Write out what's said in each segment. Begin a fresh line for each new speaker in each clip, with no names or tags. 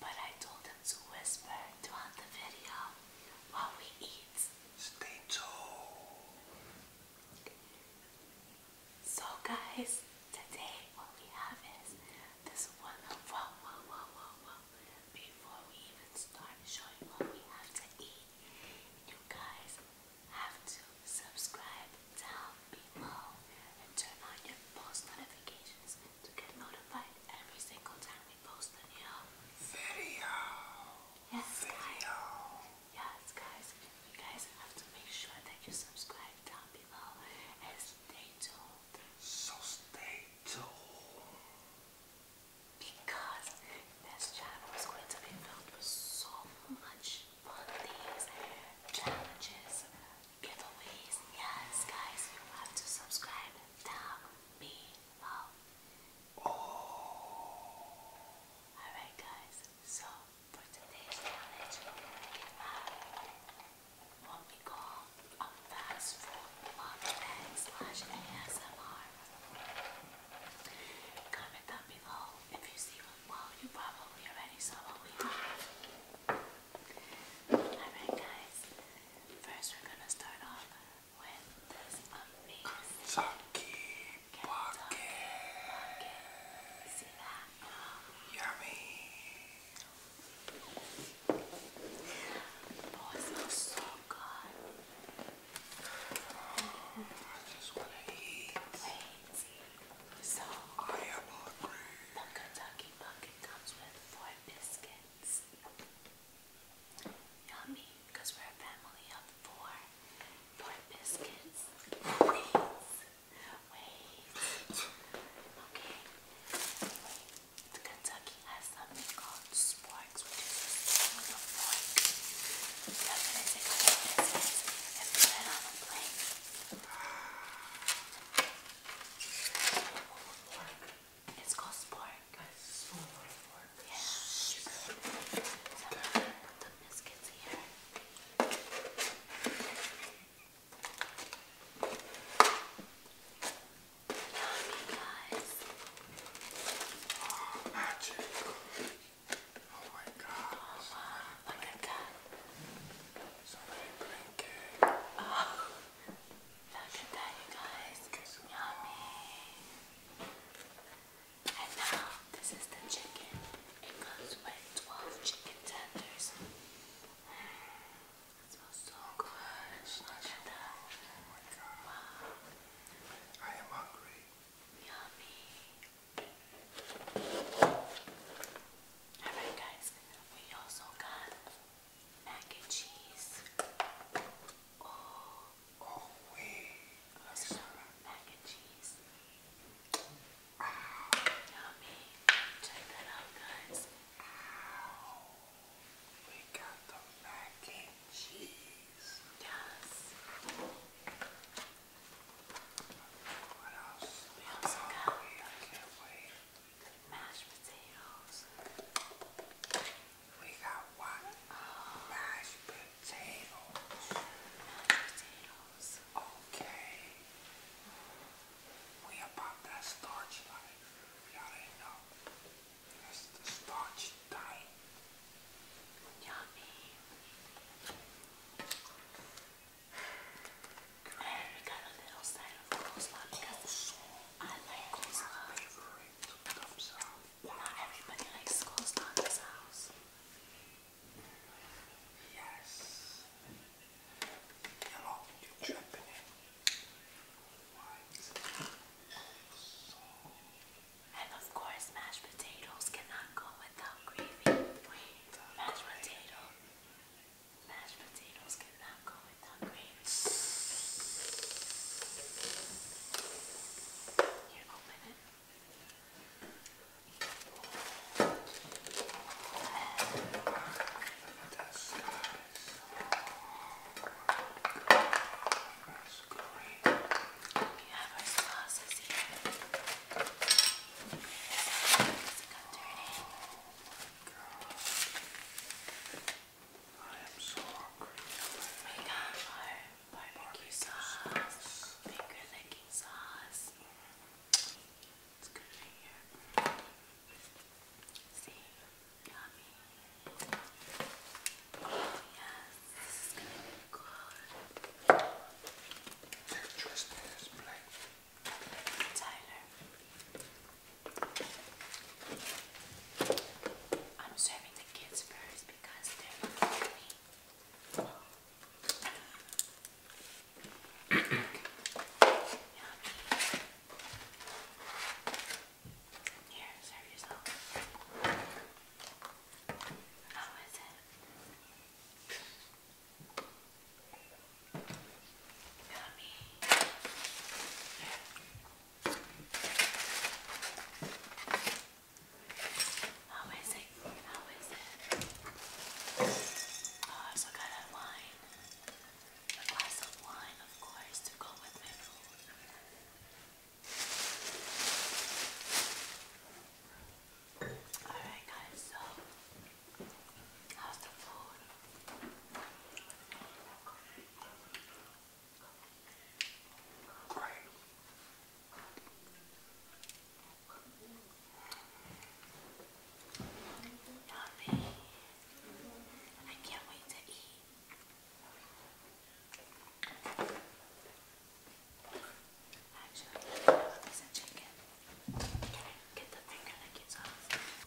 But I told him to whisper throughout the video while we eat. Stay tuned. So guys, today what we have is this one wow wow wow Before we even start showing what we have to eat, you guys have to subscribe down below and turn on your post notifications to get notified every single time we post a new video. Yes, guys. Yes, guys. You guys have to make sure that you subscribe down below and stay So stay tuned. Because this channel is going to be filled with so much fun things, challenges, giveaways. Yes, guys, you have to subscribe down below. Alright, guys, so for today's challenge, when we go on fast food vlog slash ASMR, comment down below if you see one. Well, you probably already saw what we have. Alright guys, first we're gonna start off with this amazing Kentucky Pocket. You Yummy! Oh, it smells so good. I just wanna eat. So, I am hungry. The Kentucky Bucket comes with four biscuits. Yummy, because we're a family of four. Four biscuits. Wait. Wait. Okay. The Kentucky has something called sporks, which with a fork. That's what it is. And put it on a plate. It's called sport. Guys, sport. Yeah. So I'm gonna put the biscuits here. Yummy, guys. Oh, magic. Oh my god. Oh, wow. Look at that. Somebody blinking. Oh. Look at that, you guys. Yummy. And now, this is the chicken. It comes with 12 chicken tenders. It smells so good. Look at that. I am hungry. Yummy. Alright guys, we also got mac and cheese. Oh, oh wait. That's mac and cheese. Yummy. Check that out, guys. We got the mac and cheese. Yes. What else? We also oh, got. Wait, we got what? Oh. potatoes. potatoes. Okay. We about that starch life. Y'all know. That's the starch diet. Yummy. And got a little side of coleslaw because I like this Not everybody likes closed on this house. Yes. Hello, you're tripping it. And of course, mashed potatoes cannot go without gravy. Mashed potato mashed potatoes cannot go without gravy. Here, open it. That's good. That's great. We have our sauces here. Does it come dirty? Girl. I am so hungry. We got our barbecue sauce, finger licking sauce. It's good right here. See? Yummy. Yes, this is gonna be good. Interesting, Tyler. I'm serving the kids first because they're hungry. Here, serve yourself. How is it? Yummy. How is it? How is it? Oh, I also got a wine. A glass of wine, of course, to go with my food. Alright guys, so how's the food? Great. Yummy. I can't wait to eat. Actually, I have a piece of chicken. Can I get the finger that gets off?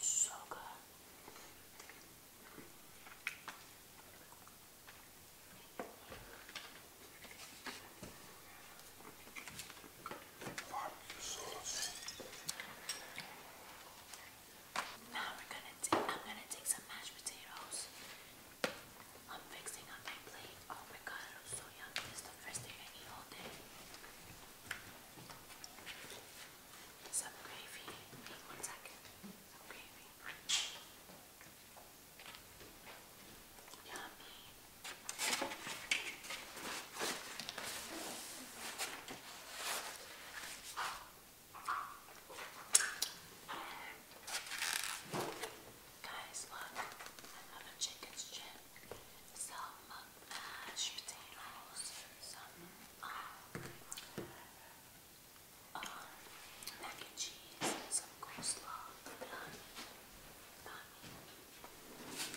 So good. Now we're gonna take. I'm gonna take some mashed potatoes. I'm fixing up my plate. Oh my god, it so yummy. This the first thing I eat Some gravy. Wait one second. Some gravy. Yummy. Guys, look, another chicken's chin. Selma uh, shooting some mac and cheese some coleslaw that I got me. Mm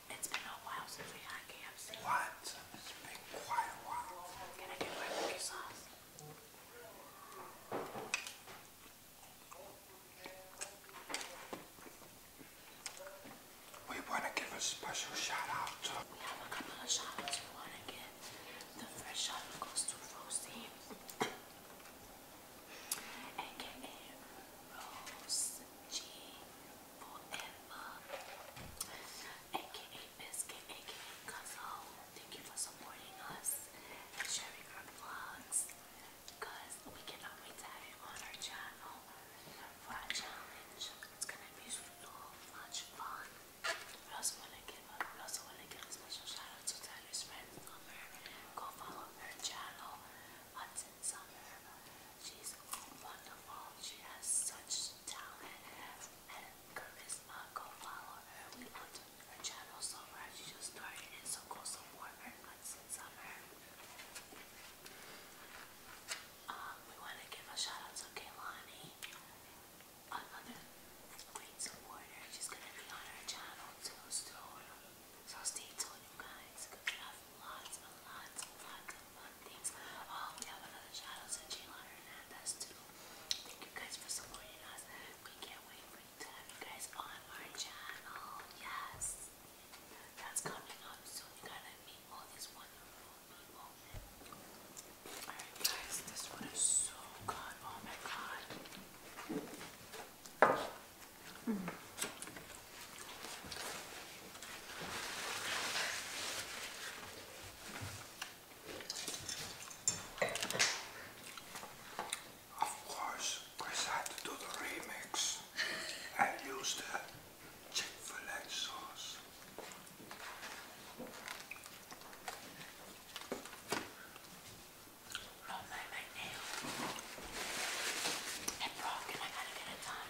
we What? It's been quite a while. Can I get barbecue sauce? We want to give a special shout out to. We have a couple of shout outs we want to give. The first shout out goes to Rosie, aka Rose G forever. AKA Biscuit, AKA Guzzle. Thank you for supporting us and sharing our vlogs. Because we cannot wait to have you on our channel for our challenge. It's gonna be so much fun. also wanna give also wanna give a special shout out to Tyler's friend Go follow her channel Summer. She's wonderful. She has such talent and charisma. Go follow her. We loved her channel so much. She just started it, so go support her, Kristen Summer. Um, we want to give a shout out to Kaylani, another great supporter. She's gonna be on her channel too soon. So stay tuned, you guys. Good job lots and lots and lots of fun things. Oh, we have another shout out to Jalen Hernandez too. Thank you guys for supporting us. We can't wait for you to have you guys on our channel. Yes. That's coming up soon. You gotta meet all these wonderful people. Alright guys, this one is so good. Oh my god. Mm. Of course, we had to do the remix and use the Chick-fil-A sauce. Oh my, my It broke and I got it at a time.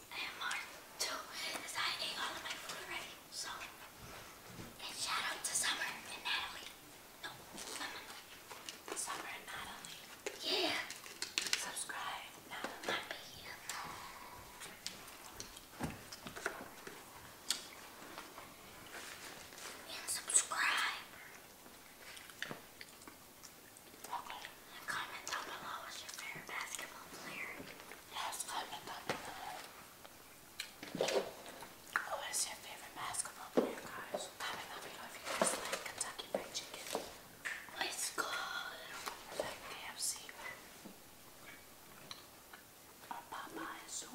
and mine too is I ate all of my food already. So, and shout out to Summer and Natalie. No, Summer and Natalie. Yeah. Subscribe. Natalie And subscribe. Okay. Comment down below what's your favorite basketball player. Yes, comment down below. What your favorite basketball player, guys? Comment down if you guys like Kentucky Fried Chicken. Let's Like KFC. Or Popeyes.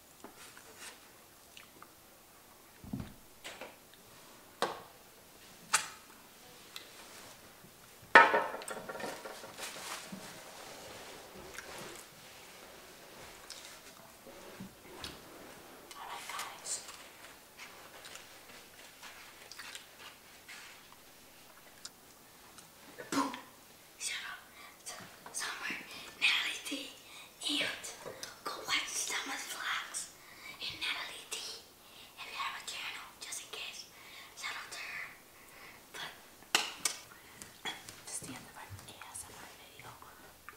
Alright guys. Boom! Shut up. Somewhere. Nelly D. And go watch Summer's vlogs and Natalie D. If you have a channel, just in case. Shout out to her. But the end of our ASMR video.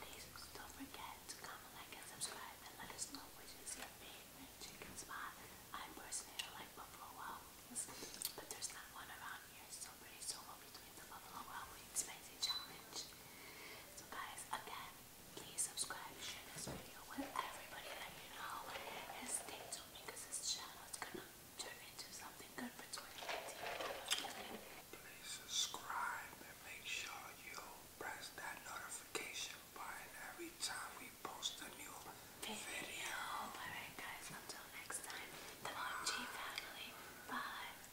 Please don't forget to comment, like, and subscribe and let us know which is your favorite chicken spot. I personally like Buffalo Wild Wings, but there's not one around here, so guys, again, please subscribe, share this video with everybody that you know, and stay because this channel is gonna turn into something good for 2018. Please subscribe and make sure you press that notification button every time we post a new video. Alright guys, until next time, the OG family, bye.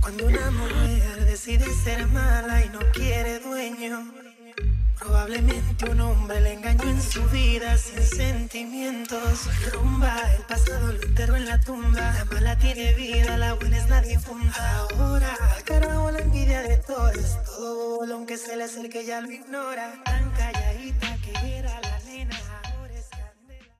Cuando una mujer decide ser mala y no quiere dueño, probablemente un hombre le engañó en su vida sin sentimientos. Rumba, el pasado lo enterró en la tumba. La mala tiene vida, la buena es la difunta. Ahora, cara la envidia de todos. Todo aunque aunque se le acerque ya lo ignora. Tan calladita que era la nena.